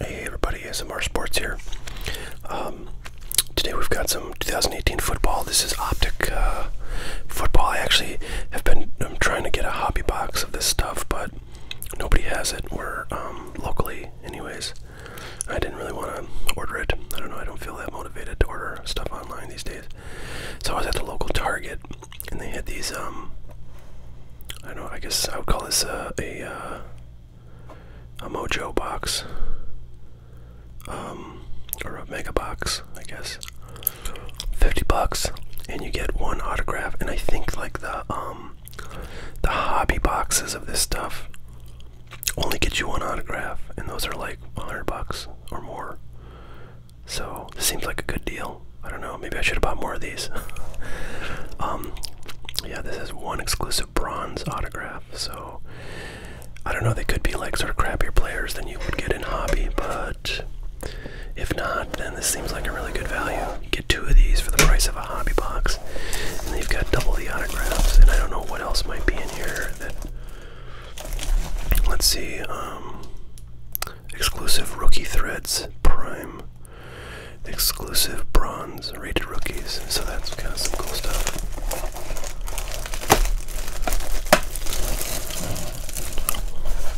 Hey everybody, SMR Sports here. Um, today we've got some 2018 football. This is Optic uh, football. I actually have been trying to get a hobby box of this stuff, but nobody has it. We're um, locally, anyways. I didn't really want to order it. I don't know. I don't feel that motivated to order stuff online these days. So I was at the local Target, and they had these. Um, I don't know. I guess I would call this a, uh, a mojo box, um, or a mega box, I guess. 50 bucks, and you get one autograph. And I think like the um, the hobby boxes of this stuff only get you one autograph, and those are like 100 bucks or more. So this seems like a good deal. I don't know. Maybe I should have bought more of these. Um, yeah, this is one exclusive bronze autograph. So I don't know. They could be like sort of crappier players than you would get in hobby, but if not, then this seems like a really good value. get two of these for the price of a hobby box, and they've got double the autographs. And I don't know what else might be in here. let's see. Um, exclusive rookie threads prime exclusive bronze rated rookies. So that's kind of some cool stuff.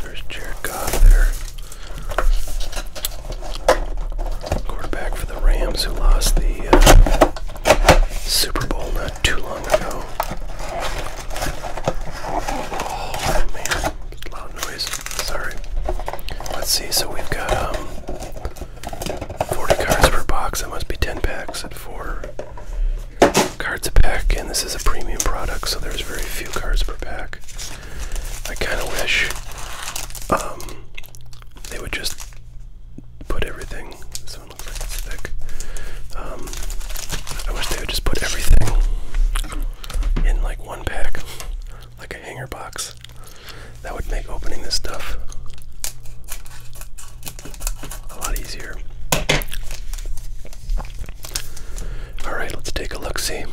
There's Jared Goff there. Quarterback for the Rams who lost the uh, Super Bowl not too long ago. Oh man, loud noise. Sorry. Let's see, so we've got um, 40 cards per box. That must be 10 packs at 4 cards a pack, and this is a premium product, so there's very few cards per pack. I kind of wish um, they would just put everything. This one looks like it's thick. Um, I wish they would just put everything in like pack, like a hanger box. That would make opening this stuff a lot easier. Alright, let's take a look see.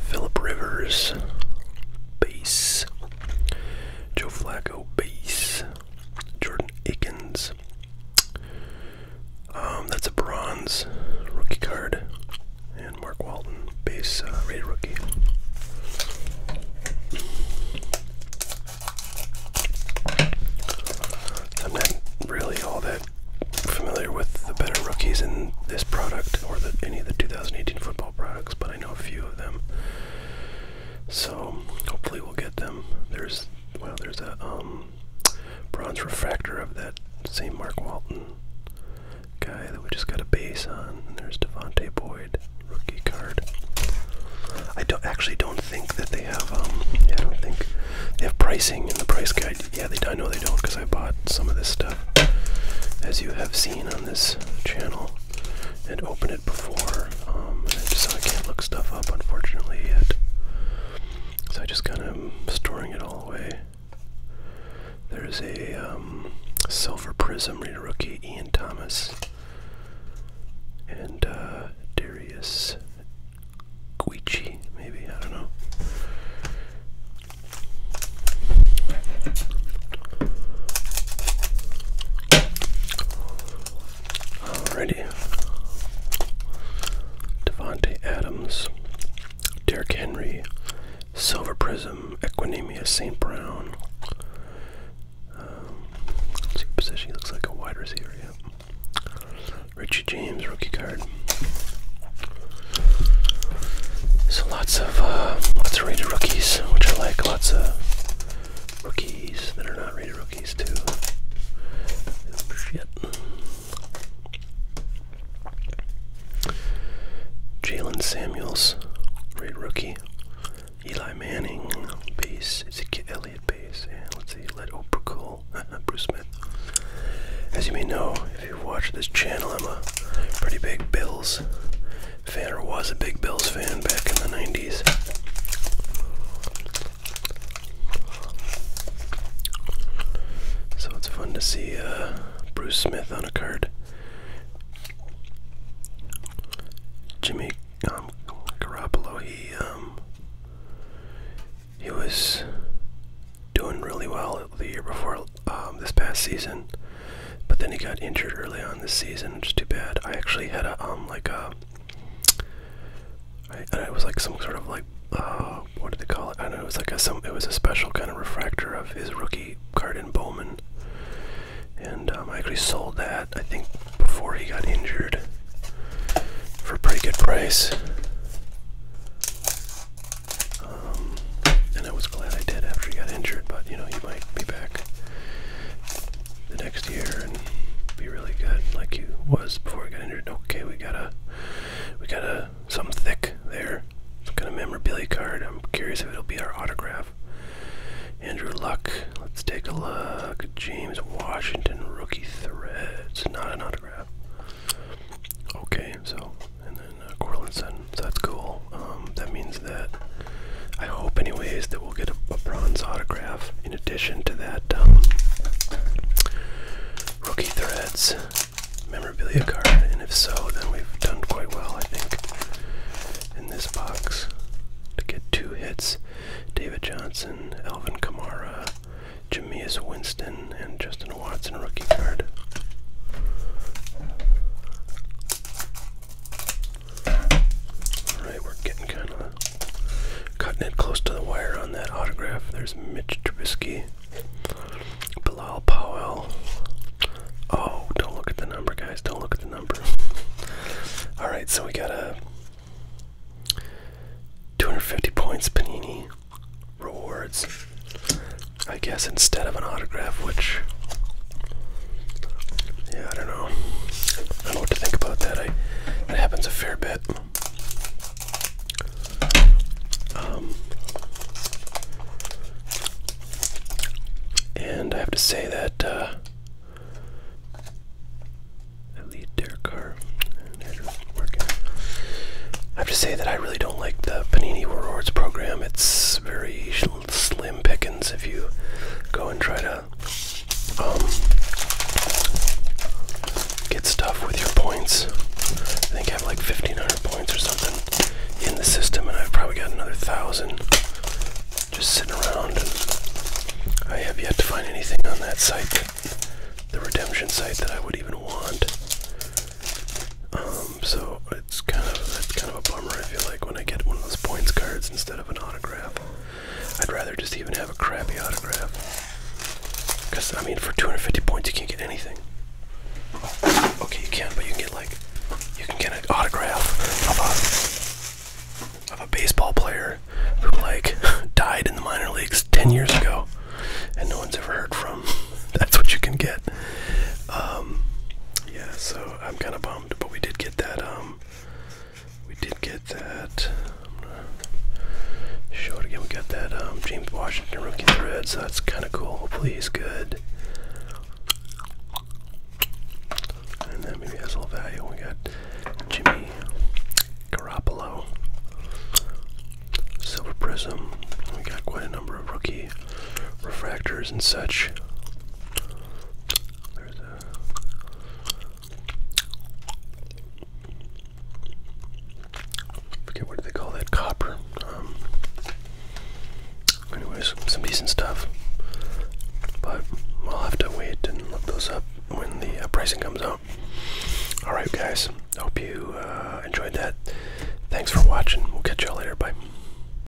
Philip Rivers, base. Joe Flacco, base. Jordan Akins, um, that's a bronze rookie card. And Mark Walton, base uh, rate rookie. I'm not really all that familiar with the better rookies in this product or any of the 2018 football products, but I know a few of them. So hopefully we'll get them. There's well, there's a um, um, bronze refractor of that same Mark Walton guy that we just got a base on. And there's Devontae Boyd, rookie card. I don't actually don't think that they have. Um, I don't think they have pricing in the price guide. Yeah, they. don't. I know they don't because I bought some of this stuff, as you have seen on this channel, and opened it before. Um, and so I can't look stuff up, unfortunately, yet. So I just kind of storing it all away. There's a um, silver prism reader rookie, Ian Thomas, and uh, Darius Guichi, maybe I don't know. Alrighty. Devontae Adams, Derek Henry, Silver Prism, Equinemia St. Brown. Um, see position he looks like a wide receiver, yeah. Richie James, rookie card. So lots of uh, lots of rated rookies, which I like. Lots of rookies that are not rated rookies. Jaylen Samuels, great rookie. Eli Manning, base. Ezekiel Eliot base. let's see, Led Oprah uh, uh, Bruce Smith. As you may know, if you watch this channel, I'm a pretty big Bills fan, or was a big Bills fan back in the 90s. So it's fun to see uh, Bruce Smith on a card. Jimmy um, Garoppolo, he um, he was doing really well the year before um, this past season, but then he got injured early on this season, which is too bad. I actually had a like a it was like some sort of like uh, what did they call it? I don't know. It was like a some. It was a special kind of refractor of his rookie card in Bowman, and um, I actually sold that I think before he got injured for a pretty good price. Um, and I was glad I did after he got injured, but you know he might be back the next year and be really good like he was before he got injured. Okay, we got a we got a some thick there. Some kind of memorabilia card. I'm curious if it'll be our autograph. Andrew Luck. Let's take a look. James Washington rookie threads. Not an autograph. Okay, so and then uh, Corlinson. So that's cool. Um, that means that I hope, anyways, that we'll get a bronze autograph in addition to that um, rookie threads memorabilia card, and if so, then we've done quite well, I think, in this box to get two hits: David Johnson, Elvin Kamara, Jameis Winston, and Justin Watson rookie card. Alright, we're getting kind of cutting it close to the wire on that autograph. There's Mitch Trubisky, Bilal Powell. Oh, don't look at the number, guys. Don't look at the number. Alright, so we got a 250 points Panini rewards. I guess instead of an autograph, which yeah, I don't know. I don't know what to think about that. I that happens a fair bit. Um, and I have to say that uh, I lead their car. I have to say that I really don't like the Panini Rewards program. It's very slim pickings if you go and try to yeah. Um, get stuff with your points. I think I have like 1,500 points or something in the system, and I've probably got another thousand just sitting around. I have yet to find anything on that site, the redemption site, that I would even want. Um, so it's kind of that's kind of a bummer. I feel like when I get one of those points cards instead an autograph. I'd rather just even have a crappy autograph. Because, I mean, for 250 points, you can't get anything. Okay, you can, but you can get, like, you can get an autograph of a, of a baseball player who, like, died in the minor leagues 10 years ago and no one's ever heard from. That's what you can get. Um, yeah, so I'm kind of bummed, but we did get that. Um, we did get that. Um, show it again. We got that um, James Washington rookie thread, so that's kind of cool. Hopefully he's good. And then maybe has a little value. We got Jimmy Garoppolo, Silver Prism. We got quite a number of rookie refractors and such. There's what do they call that copper. Um, anyways, some decent stuff. But I'll have to wait and look those up when the uh, pricing comes out. All right, guys. Hope you uh, enjoyed that. Thanks for watching. We'll catch y'all later. Bye.